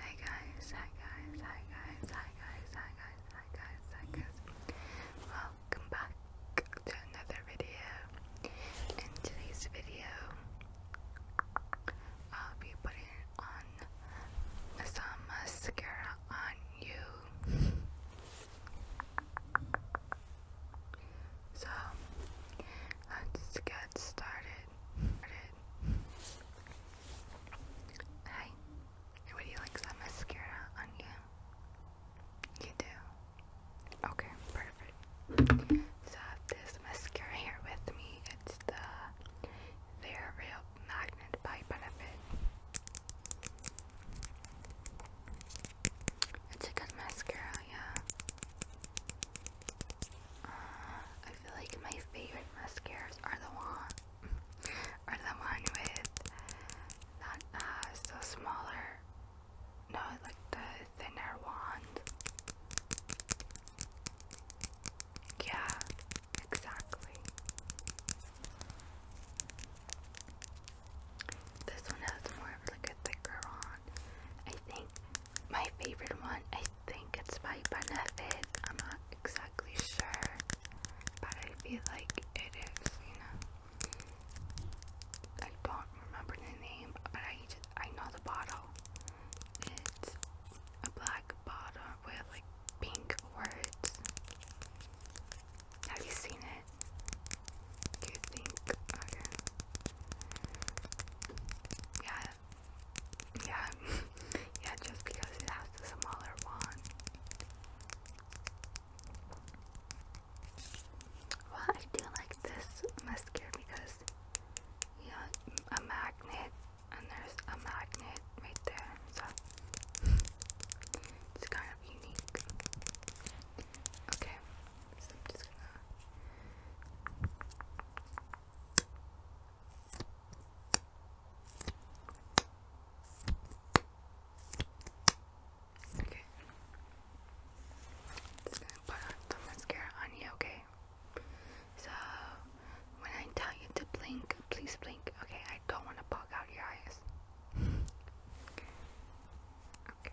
Hi guys, hi guys, hi guys, hi guys, hi guys, hi guys, hi guys. Welcome back to another video. In today's video, I'll be putting on some mascara on you. So, let's get started it. would you like some mascara on you? You do? Okay, perfect. So I have this mascara here with me. It's the Their Real Magnet by Benefit. It's a good mascara, yeah. I feel like my favorite mascaras are the one, are the one with that uh, so smaller, no, like the thinner wand. Yeah, exactly. This one has more of like a thicker wand. I think my favorite one, I think it's by Benefit. I'm not exactly sure, but I feel like it is, you know. I don't remember the name, but I just, I know the bottle. It's a black bottle with like pink words. Have you seen it? Do you think? Yeah, yeah, yeah, just because it has the smaller one. Well, I do like this mascara because, yeah, a magnet, and there's a magnet right there, so it's kind of unique. Okay, so I'm just gonna Okay. Just gonna put on mascara on you, okay? So when I tell you to blink, please blink. Okay, I don't want to poke out your eyes. Okay.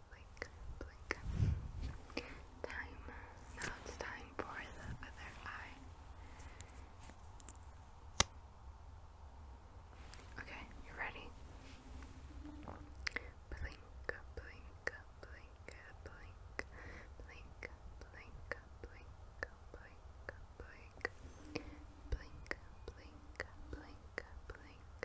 blink, blink. Time. Now it's time for the other eye. Okay, you ready? Blink, blink, blink, blink, blink, blink, blink, blink, blink, blink, blink, blink, blink,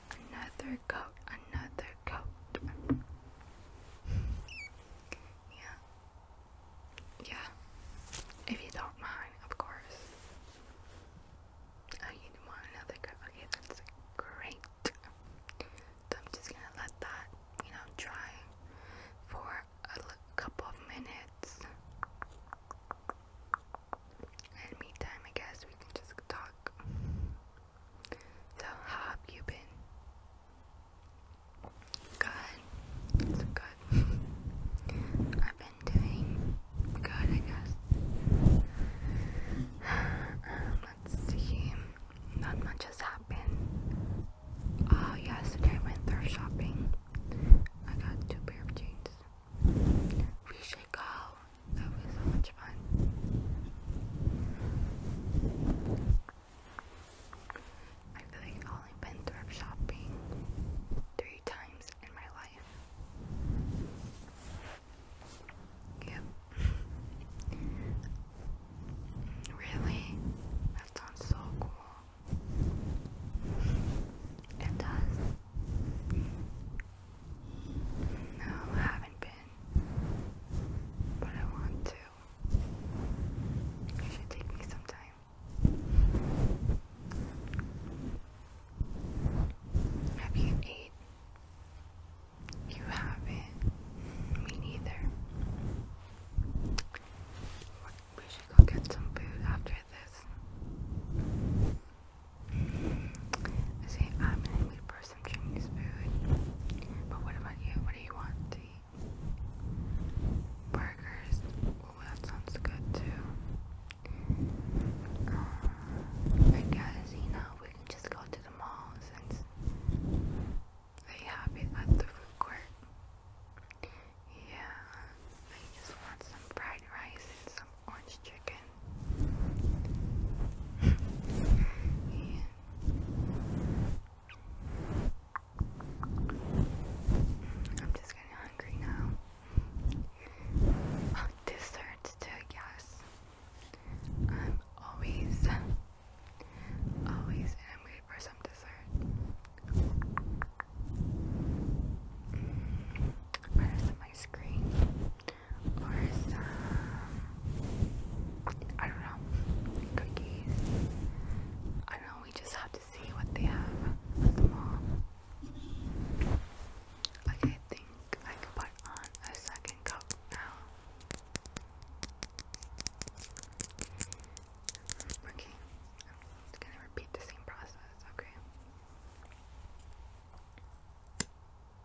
another coat, another coat. yeah. Yeah. If you don't mind, of course. Oh, you want another coat? Okay, that's great. I'm just gonna let that, you know, dry for a couple of minutes. And meantime, I guess we can just talk. So how have you been? Good. So good. I've been doing good, I guess. let's see. Not much has happened. Oh, yesterday I went thrift shopping. I got two pair of jeans. We should go that was so much fun. I feel like I've only been thrift shopping three times in my life. Yep. Really? That sounds so cool. It does. No, haven't been but I want to. It should take me some Have you ate? You haven't. Me neither. We should go get some food after this. I I'm an a person some Chinese food. But what about you? What do you want to eat? Burgers. that sounds good too. Uh, I guess, you know, we can just go to the mall since they have it at the food court. Yeah, I just want some fried rice and some orange chicken. I'm just getting hungry now. Oh, desserts too, yes. I'm always, always hungry for some dessert. Mm, there's some or some, I don't know, cookies. I don't know, we just have to see what they have at the mall. Okay, I think I can put on a second cup now. Okay, I'm just gonna repeat the same process, Okay.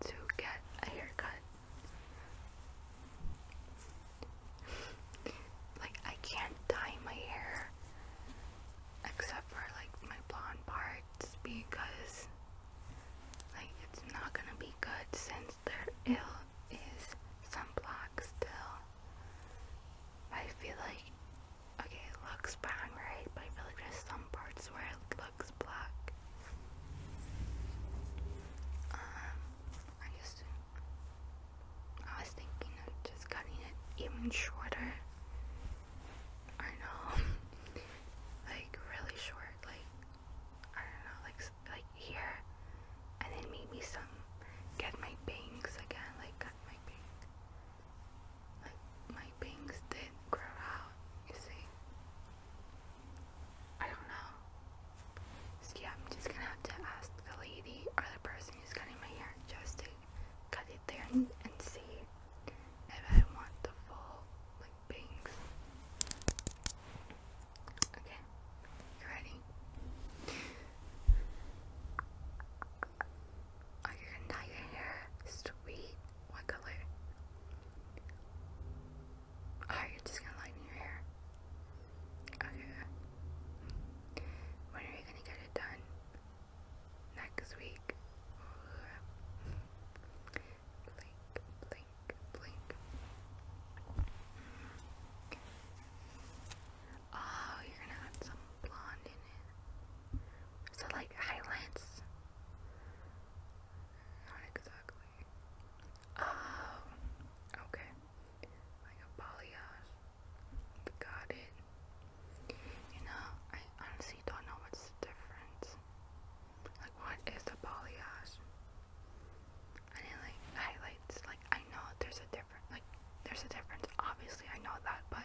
to get a haircut. like, I can't dye my hair except for like my blonde parts because like it's not gonna be good since there ill is sunblock still. I feel like okay it looks bang right but I feel like there's some parts where looks black. Um, I just, I was thinking of just cutting it even shorter. I know, like really short, like I don't know, like like here, and then maybe some get my bangs again, like cut my bangs, like my bangs did grow out. You see, I don't know. yeah, I'm just gonna have to ask the lady or the person who's cutting my hair just to cut it there and, and see if I want the full like bangs. Okay, you ready? Are you gonna dye your hair sweet? What color? Oh, you're just gonna lighten your hair. Okay. When are you gonna get it done? Next week. Blink, blink, blink. Oh, you're gonna add some blonde in it. like highlights. Not exactly. Oh, okay. Like a balayage. Got it. You know, I honestly don't know what's the difference. Like, what is a balayage? I like highlights. Like, I know there's a difference. Like, there's a difference. Obviously, I know that, but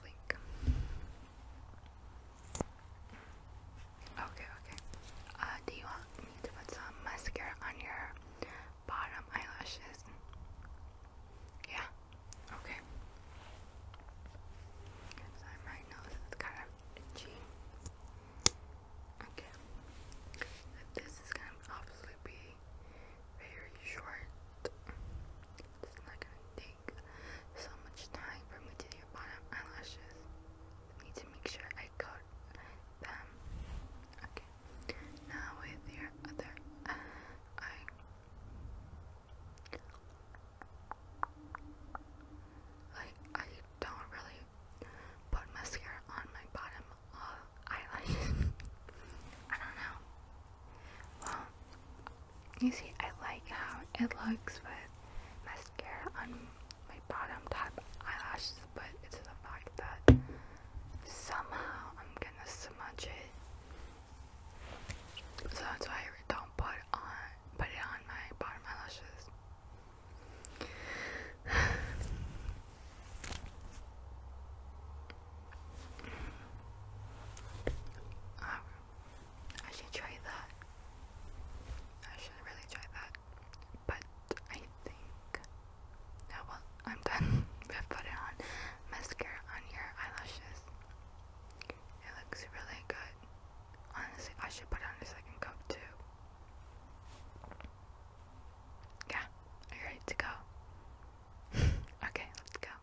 blink. Okay, okay. Uh, do you want me to put some mascara on your bottom eyelashes? Yeah. Okay. So my nose is kind of itchy. Okay. This is gonna obviously be very short. It's not gonna take so much time for me to do your bottom eyelashes. I need to make sure I coat them. Okay. Now with your other eye. Like I don't really put mascara on my bottom eyelashes. I don't know. Well, you see, I like how it looks with mascara on my bottom top eyelashes, but it's the fact that somehow I'm gonna smudge it. So that's why I don't put on put it on my bottom eyelashes. Um, I should try that. I should really try that. But I think no well I'm done with putting on mascara on your eyelashes. It looks really good. Honestly, I should put on a second coat too. Yeah, you ready to go? okay, let's go.